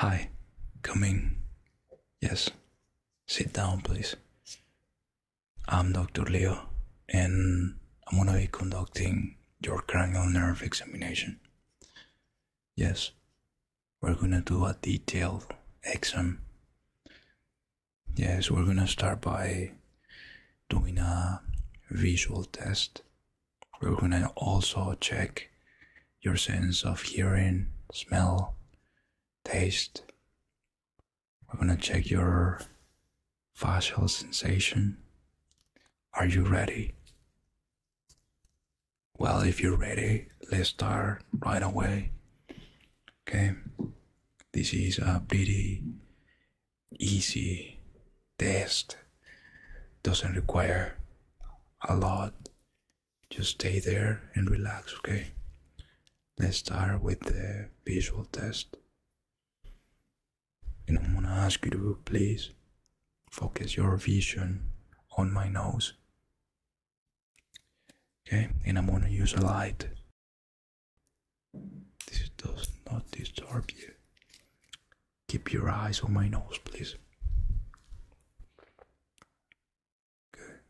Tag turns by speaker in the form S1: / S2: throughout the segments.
S1: Hi, come in. Yes, sit down, please. I'm Dr. Leo, and I'm gonna be conducting your cranial nerve examination. Yes, we're gonna do a detailed exam. Yes, we're gonna start by doing a visual test we're gonna also check your sense of hearing, smell, taste. We're gonna check your facial sensation. Are you ready? Well, if you're ready, let's start right away. Okay, this is a pretty easy test doesn't require a lot. Just stay there and relax, okay? Let's start with the visual test. And I'm gonna ask you to please focus your vision on my nose. Okay, and I'm gonna use a light. This does not disturb you. Keep your eyes on my nose, please. Good.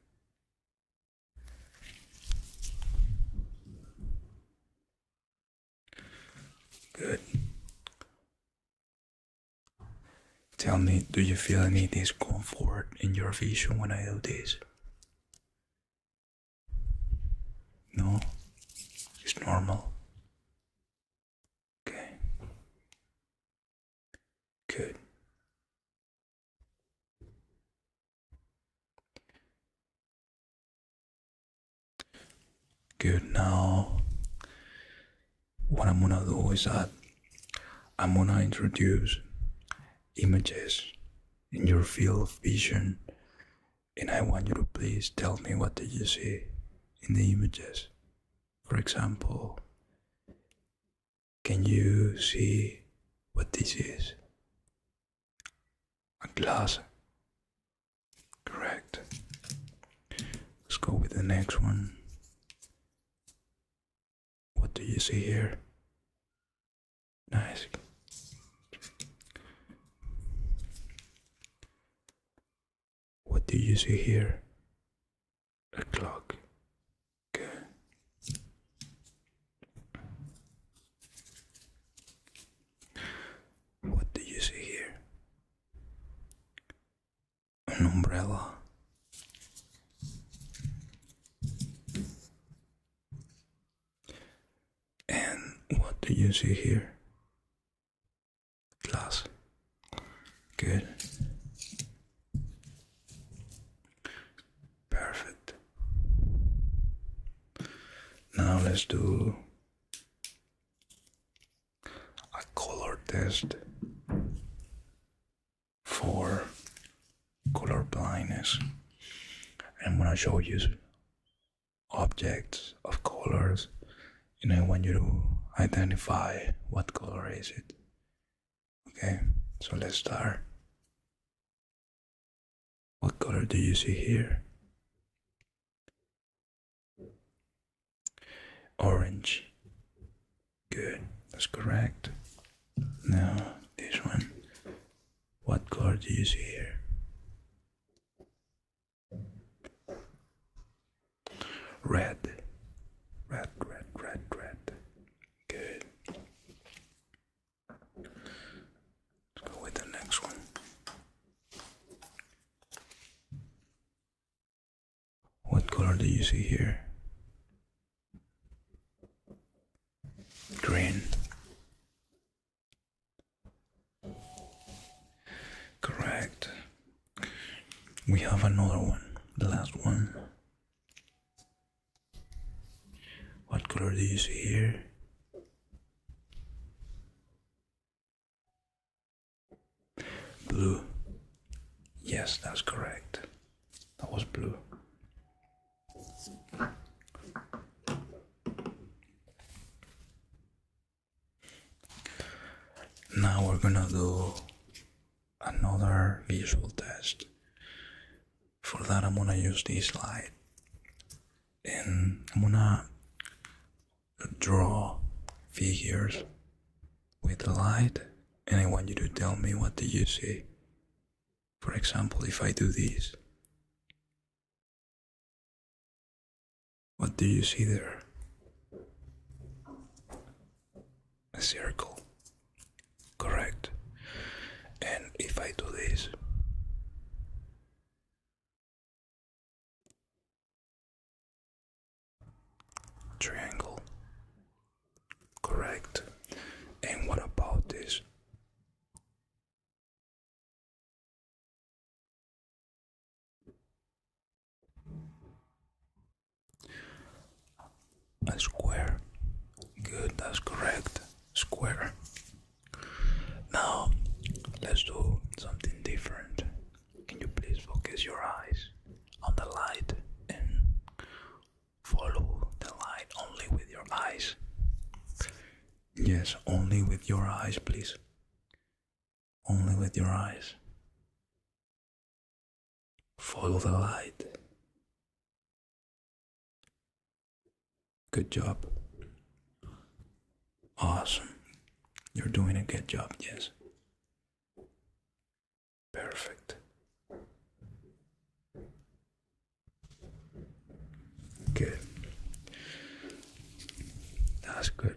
S1: Good. Tell me, do you feel any discomfort in your vision when I do this? No, it's normal. Okay. Good. Good. Now, what I'm gonna do is that I'm gonna introduce images in your field of vision and I want you to please tell me what did you see in the images. For example, can you see what this is? A glass. Correct. Let's go with the next one. What do you see here? Nice. What do you see here? A clock. Okay. What do you see here? An umbrella. And what do you see here? Glass. Good. Perfect. Now let's do a color test for color blindness. I'm gonna show you objects of colors and I want you to identify what color is it okay so let's start what color do you see here orange good that's correct now this one what color do you see here Red. Red, red, red, red. Good. Let's go with the next one. What color do you see here? Green. Correct. We have another one, the last one. What color do you see here? Blue. Yes, that's correct. That was blue. Now we're gonna do another visual test. For that, I'm gonna use this light, and I'm gonna draw figures with the light and I want you to tell me what do you see. For example, if I do this, what do you see there? A circle. Correct. And if I do this,
S2: triangle. Correct. And what about this? A square. Good, that's
S1: correct. Square. Now, let's do something different. Can you please focus your eyes on the light and follow the light only with your eyes? Yes, only with your eyes, please. Only with your eyes. Follow the light. Good job. Awesome. You're doing a good job, yes. Perfect. Good. That's good.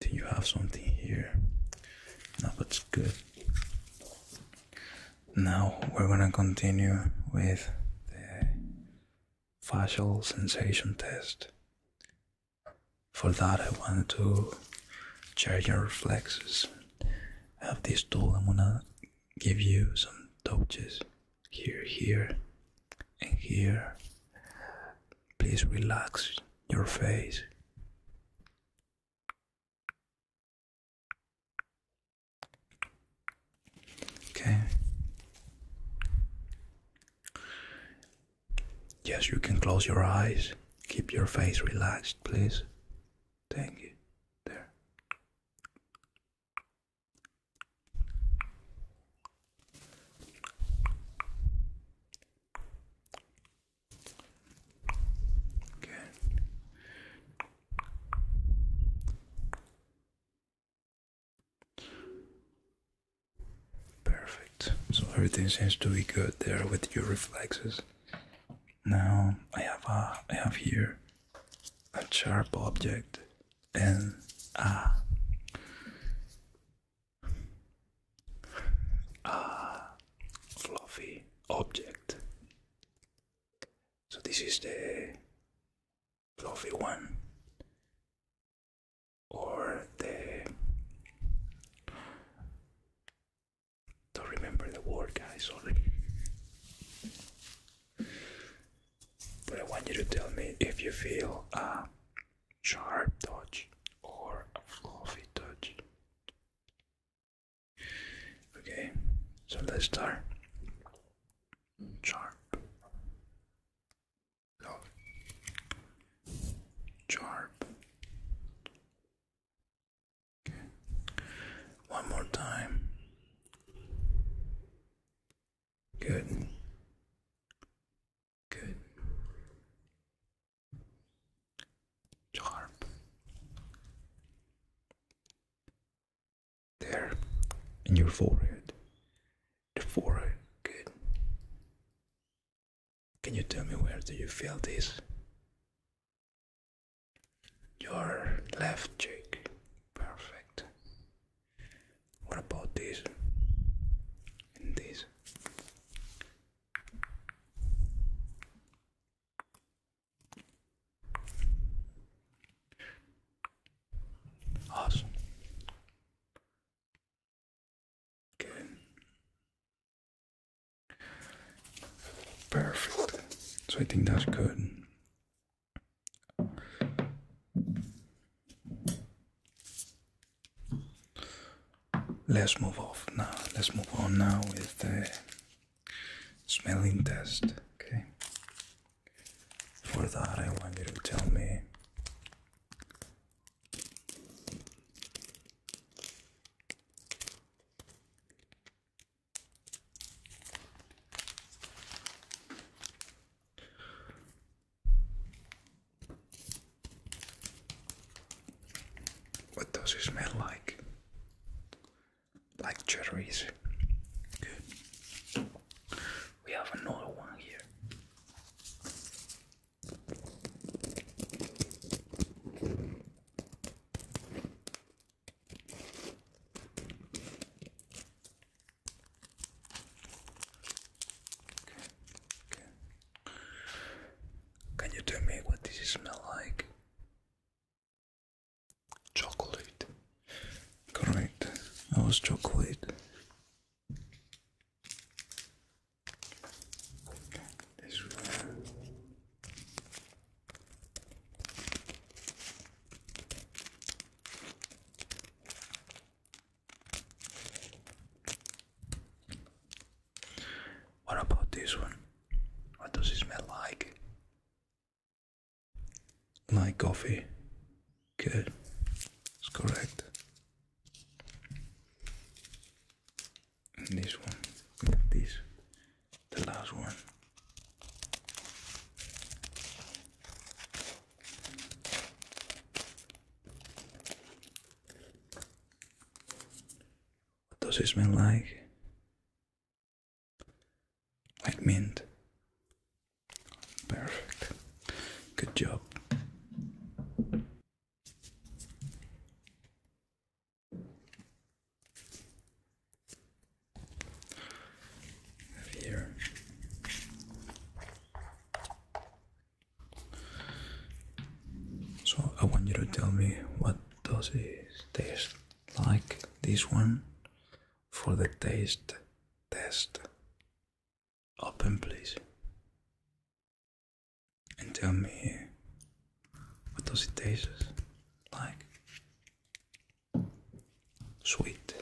S1: Do you have something here? That looks good. Now we're gonna continue with the facial sensation test. For that, I want to check your reflexes have this tool I'm gonna give you some touches here here and here please relax your face okay yes you can close your eyes keep your face relaxed please Thank you. There. Good. Perfect. So everything seems to be good there with your reflexes. Now I have a I have here a sharp object and a a fluffy object. So this is the fluffy one or the don't remember the word, guys, sorry. But I want you to tell me if you feel a sharp touch or a fluffy touch. Okay, so let's start. Sharp. Sharp. One more time. Good. Good. Sharp. There. In your forehead. The forehead. Good. Can you tell me where do you feel this? Your left cheek. Perfect. What about this? this? Awesome. Good. Perfect. So I think that's good. Let's move off now. Let's move on now with the smelling test. Okay. For that, I want you to tell me what does it smell like? Like cherries. Good. We have another one here. Can you tell me what this smell like? Chocolate. Correct. I was chocolate. This one. What about this one? What does it smell like? Like coffee. Good. That's correct this one this the last one what does it smell like? Like mint. Perfect. Good job. So I want you to tell me what does it taste like this one for the taste test. Open please and tell me what does it taste like? Sweet.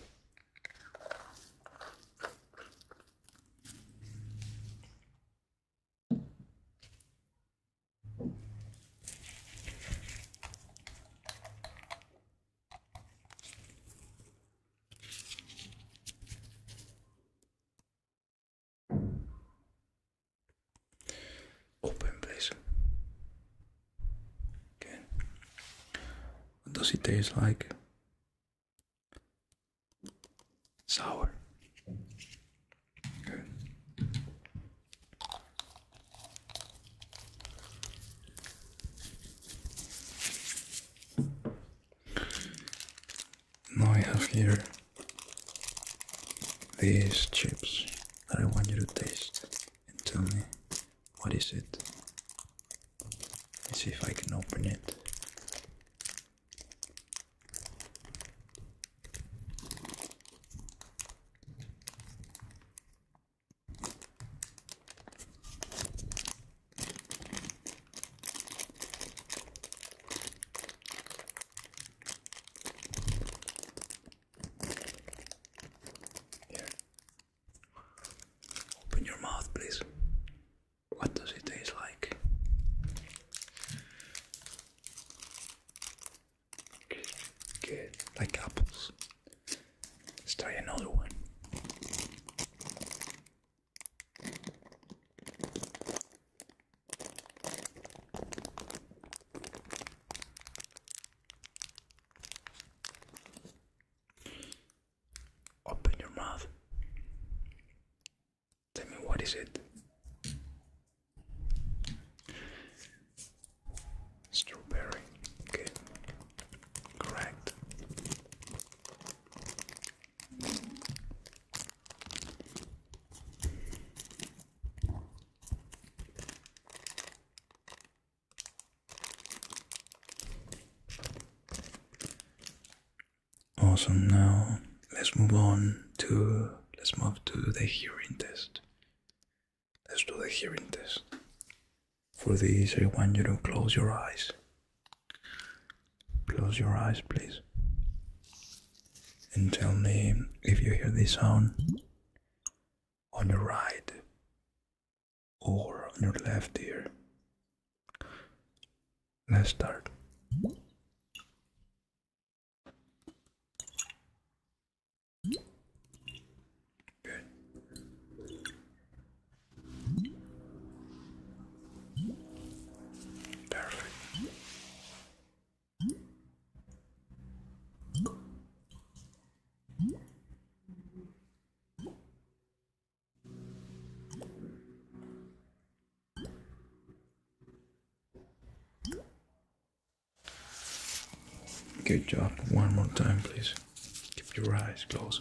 S1: Open, this. What does it taste like? Sour. Now I have here these chips that I want you to taste and tell me what is it. Let's see if I can open it. Open your mouth, please. What does it taste like? Good, good. Like apples. Let's try another one. Open your mouth. Tell me what is it? Strawberry. Okay. Correct. Awesome. Now let's move on to let's move to the hearing test. Let's do the hearing test. For this, I want you to close your eyes. Close your eyes, please. And tell me if you hear this sound on your right or on your left ear. Let's start.
S2: Good. Perfect.
S1: Good job. One more time, please. Keep your eyes closed.